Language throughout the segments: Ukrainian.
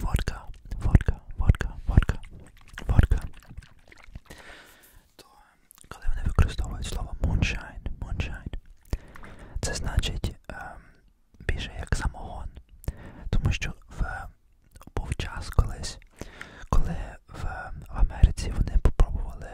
Vodka, vodka, vodka, vodka, vodka. То коли вони використовують слово moonshine, moonshine, це значить ем, більше як самогон. Тому що в був час колись, коли в, в Америці вони попробували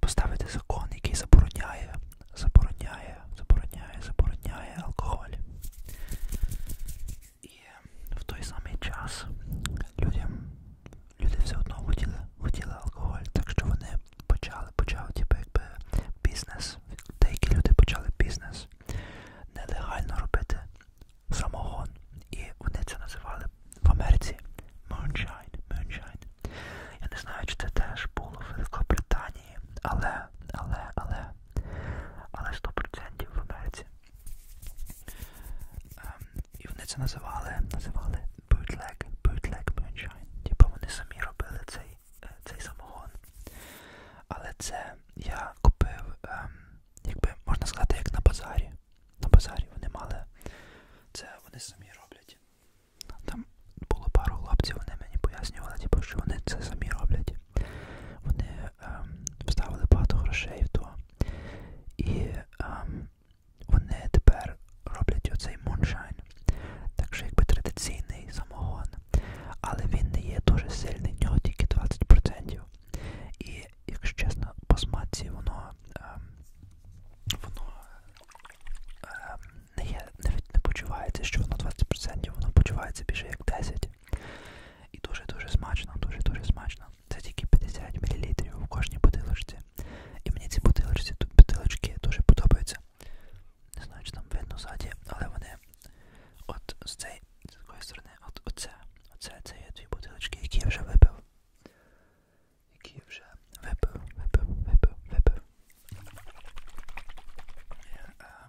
поставити закон, який забороняє, забороняє забороняє, забороняє, забороняє алкоголь. І в той самий час людям, люди все одно хотіли, хотіли алкоголь, так що вони почали, почали типу, якби бізнес. Деякі люди почали бізнес нелегально робити самогон. І вони це називали в Америці moonshine, moonshine. Я не знаю, чи це теж було в Великобританії, але, але, але але 100% в Америці. Ем, і вони це називали, називали bootleg, bootleg moonshine. Типу вони самі робили цей е, цей самогон. Але це я купив, ем, якби можна сказати, як на базарі. На базарі вони мали. Це вони самі роблять. Там було пару хлопців, вони мені пояснювали, типу, що вони це самі роблять. Вони Ем, вставили багато грошей в то. І ем, вони тепер роблять оцей муншайн. Так що якби традиційний самогон. Але він не є дуже сильний, в нього тільки 20%. І, якщо чесно, по смаці воно ем, воно ем, не є, навіть не почувається, що воно 20%, воно почувається більше як 10%. І дуже-дуже смачно, дуже-дуже смачно. Це тільки 50 мл в кожній бутилочці. І мені ці бутилочці, бутилочки дуже подобаються. Не знаю, чи там видно ззаді, але вони от з цієї з такої сторони, от оце, оце, це є дві бутилочки, які я вже випив. Які я вже випив, випив, випив, випив. Я, е, ем,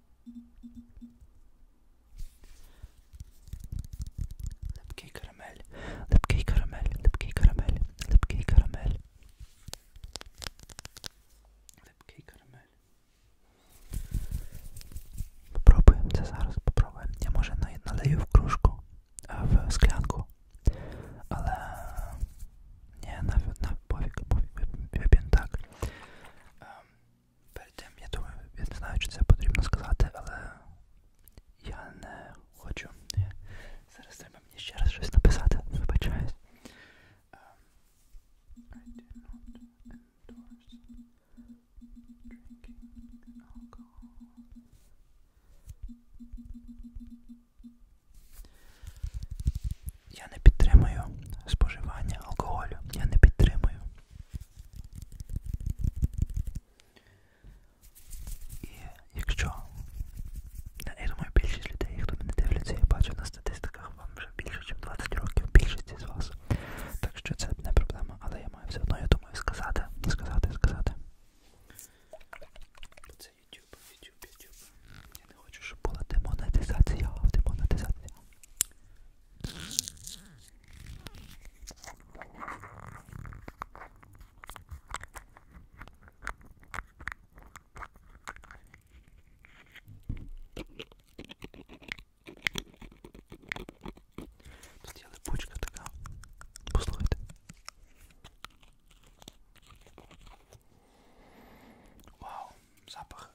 Липкий карамель, липкий карамель, липкий карамель, липкий карамель. Липкий карамель. Попробуємо це зараз, попробуємо. Я може налию в кружку, в склянку. Але ні, на, на пофіг, пофіг, вип'ємо так. Ем, Перед тим, я думаю, я не знаю, чи це потрібно сказати, але я не хочу. Зараз треба мені ще раз щось написати. Вибачаюсь. Я не підтримую споживання алкоголю. Я не підтримую. І якщо я думаю, більшість людей, хто мене дивляться, я бачу на статистиках вам вже більше, ніж 20 років, більшість з вас. Так що це не проблема, але я маю все одно, я думаю, сказати, сказати, сказати. Це YouTube, YouTube, YouTube. Я не хочу, щоб була демонетизація, демонетизація. Тут є липучка така. Послухайте. Вау, запах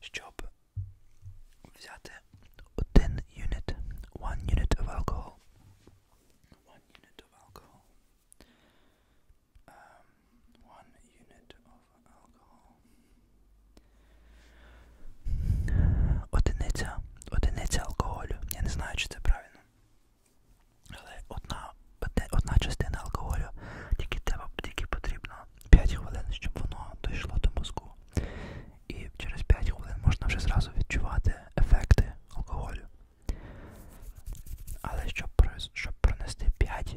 щоб взяти один юніт, one unit of alcohol. One unit of alcohol. Um, one unit of alcohol. Одиниця, одиниця алкоголю. Я не знаю, чи це правильно. Але одна одна частина алкоголю тільки треба тільки потрібно 5 хвилин, щоб воно дійшло до мозку. І через 5 хвилин можна вже зразу відчувати ефекти алкоголю. Але щоб щоб пронести 5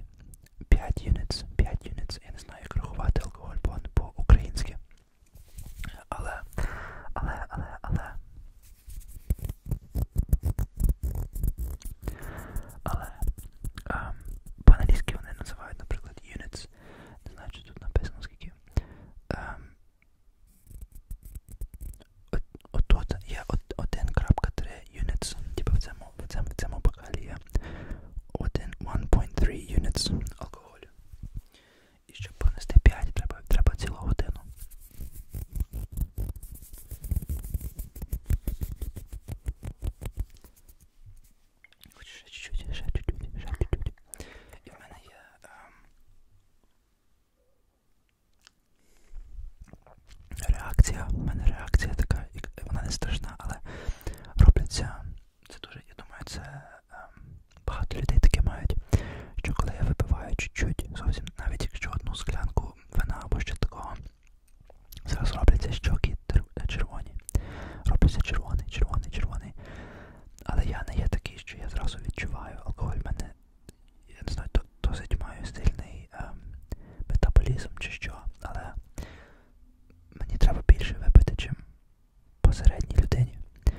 5 юниць, 5 юниць, я не знаю, як рахувати алкоголь по-українськи. Але, але, але, але. Але а, ем, по-англійськи вони називають, наприклад, units. Не знаю, чи тут написано скільки. А, ем, от, от, от є 1.3 units. Типу в цьому, в цьому, в цьому бокалі є 1.3 units алкоголю. І щоб понести 5, треба, треба цілу годину. Хочу ще чуть-чуть, ще чуть-чуть, ще чуть-чуть. І в мене є. Ем... Реакція, в мене реакція така, вона не страшна, але робляться. Це дуже, я думаю, це ем, багато людей таке мають. Що коли я випиваю чуть-чуть, зовсім навіть якщо одну склянку вина або ще такого, Зараз робляться щоки червоні. Робляться червоний, червоний, червоний. Але я не є такий, що я зразу відчуваю. Алкоголь в мене, я не знаю, досить маю сильний ем, метаболізм чи що, але мені треба більше випити, чим посередній людині, е,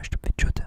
щоб відчути.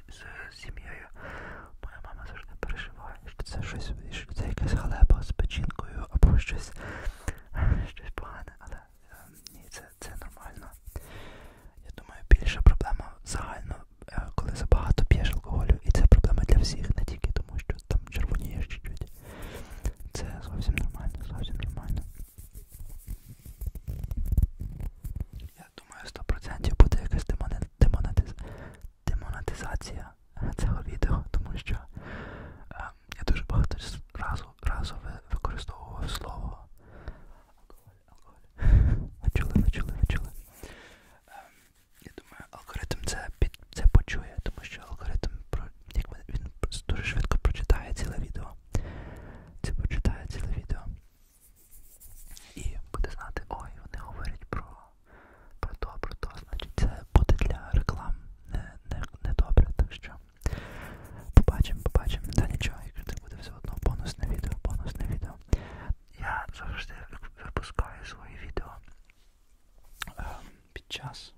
з сім'єю. Моя мама завжди переживає, що це щось, що це якась халепа з печінкою або щось щось погане, але е, ні, це, це нормально. Я думаю, більша проблема загально, е, коли забагато п'єш алкоголю, і це проблема для всіх, не тільки тому, що там червонієш чуть-чуть. Це зовсім нормально, зовсім нормально. Я думаю, 100% буде якась демонетиз... демонетизація цього відео, тому що е, я дуже багато разу, разу використовував слово алкоголь, алкоголь. Ви чули, ви чули, ви чули. Е, ем, я думаю, алгоритм це під це почує, тому що алгоритм як він дуже швидко прочитає ціле відео. Це прочитає ціле відео. І буде знати, ой, вони говорять про про то, про то. Значить, це буде для реклам не, не, не добре. Так що побачимо, побачимо. Та нічого, якщо це буде все одно бонусне відео, бонусне відео. Я завжди випускаю свої відео е, під час.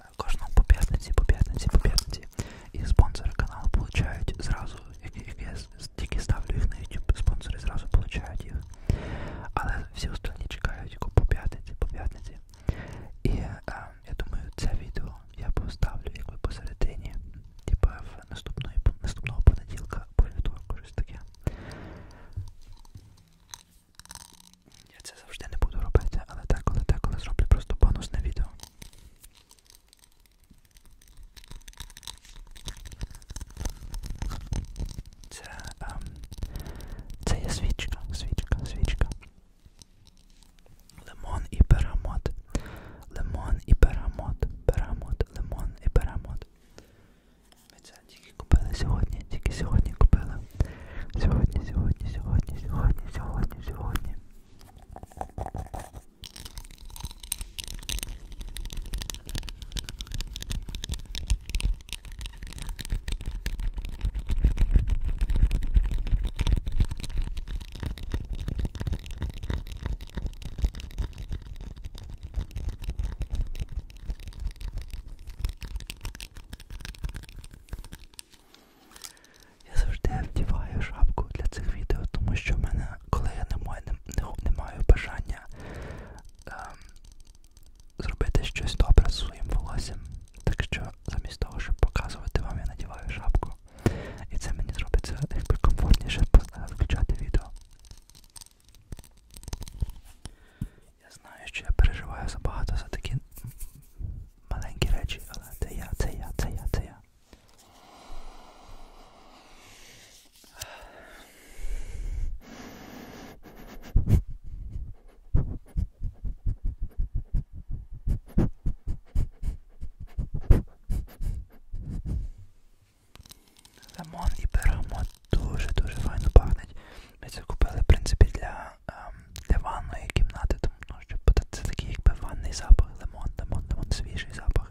Е, кожного по п'ятниці, по п'ятниці, по п'ятниці. І спонсори каналу получають зразу, як, як я тільки ставлю їх на YouTube, спонсори зразу получають їх. Але всі остальні чекають по п'ятниці, по п'ятниці. І е, я думаю, це відео я поставлю якби посередині, типа в наступної, наступного понеділка або вівторку, щось таке. Я це завжди не буду робити, але деколи-деколи зроблю просто бонусне відео. Це, ем, це є свічка, свічка, свічка. Лимон і берамот. Лимон і берамот. Берамот, лимон і берамот. Ми це тільки купили сьогодні, тільки сьогодні купили. Сьогодні, сьогодні, сьогодні, сьогодні, сьогодні, сьогодні. Я завжди вдіваю шапку для цих відео, тому що в мене коли я не маю, не, не маю бажання е, зробити щось добре з своїм волоссям. Так що замість того, щоб показувати вам, я надіваю шапку. І це мені зробиться якби комфортніше включати відео. Я знаю, що я переживаю забагато за такі маленькі речі, але це я, це я, це я, це я. Лимон і беремо дуже-дуже файно пахнуть. Ми це купили, в принципі, для, ем, для ванної кімнати, тому ну, що це такий якби ванний запах, лимон, лимон, лимон, свіжий запах.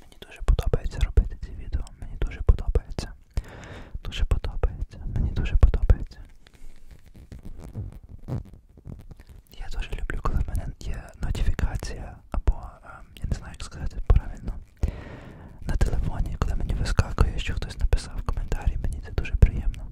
Мені дуже подобається робити ці відео. Мені дуже подобається. Дуже подобається. Мені дуже подобається. Я дуже люблю, коли в мене є нотифікація або е, я не знаю, як сказати правильно. На телефоні, коли мені вискакує, що хтось написав коментарі, мені це дуже приємно.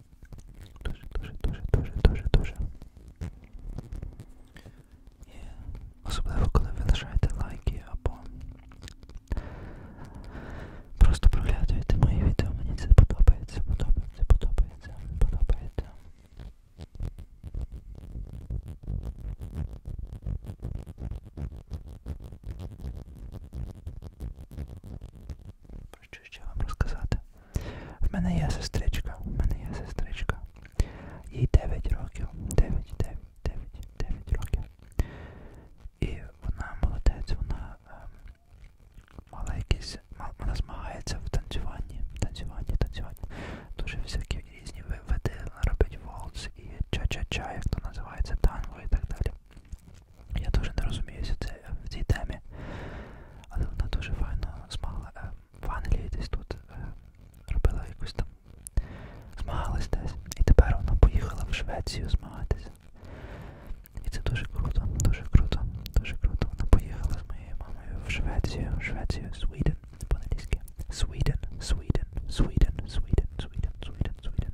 Дуже, дуже, дуже, дуже, дуже, дуже. І особливо, коли ви лишаєте лайки або просто проглядуєте мої відео, мені це подобається, подобається, подобається, подобається про що ще вам розказати. В мене є сестричка, в мене є сестричка. Їй 9 років. 9, 9, 9, 9 років. І вона молодець, вона ем, мала якісь. Вона змагається в танцюванні, танцюванні, танцюванні. Дуже всякі різні види, вона робить волц і ча-ча-ча, як то називається, танго і так далі. Я дуже не розуміюся це в цій темі, але вона дуже файно змагала е, в Англії десь тут е, робила якусь там змагалась десь. І тепер вона поїхала в Швецію змагатися. І це дуже круто, дуже круто, дуже круто. Вона поїхала з моєю мамою в Швецію, в Швецію, Sweden, по-англійськи. Sweden, Sweden, Sweden, Sweden, Sweden, Sweden, Sweden.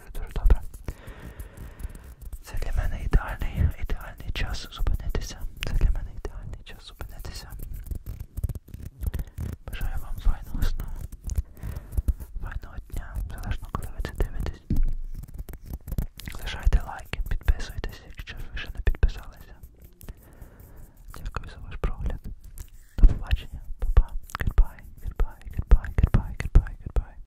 дуже дуже добре. Це для мене ідеальний, ідеальний час зупинитися. Це для мене ідеальний час зупинитися. Бажаю вам файного сну, файного дня, залежно коли ви це дивитесь. Лишайте лайки, підписуйтесь, якщо ви ще не підписалися. Дякую за ваш прогляд. До побачення. Па-па. Goodbye, goodbye, goodbye, goodbye, goodbye, goodbye.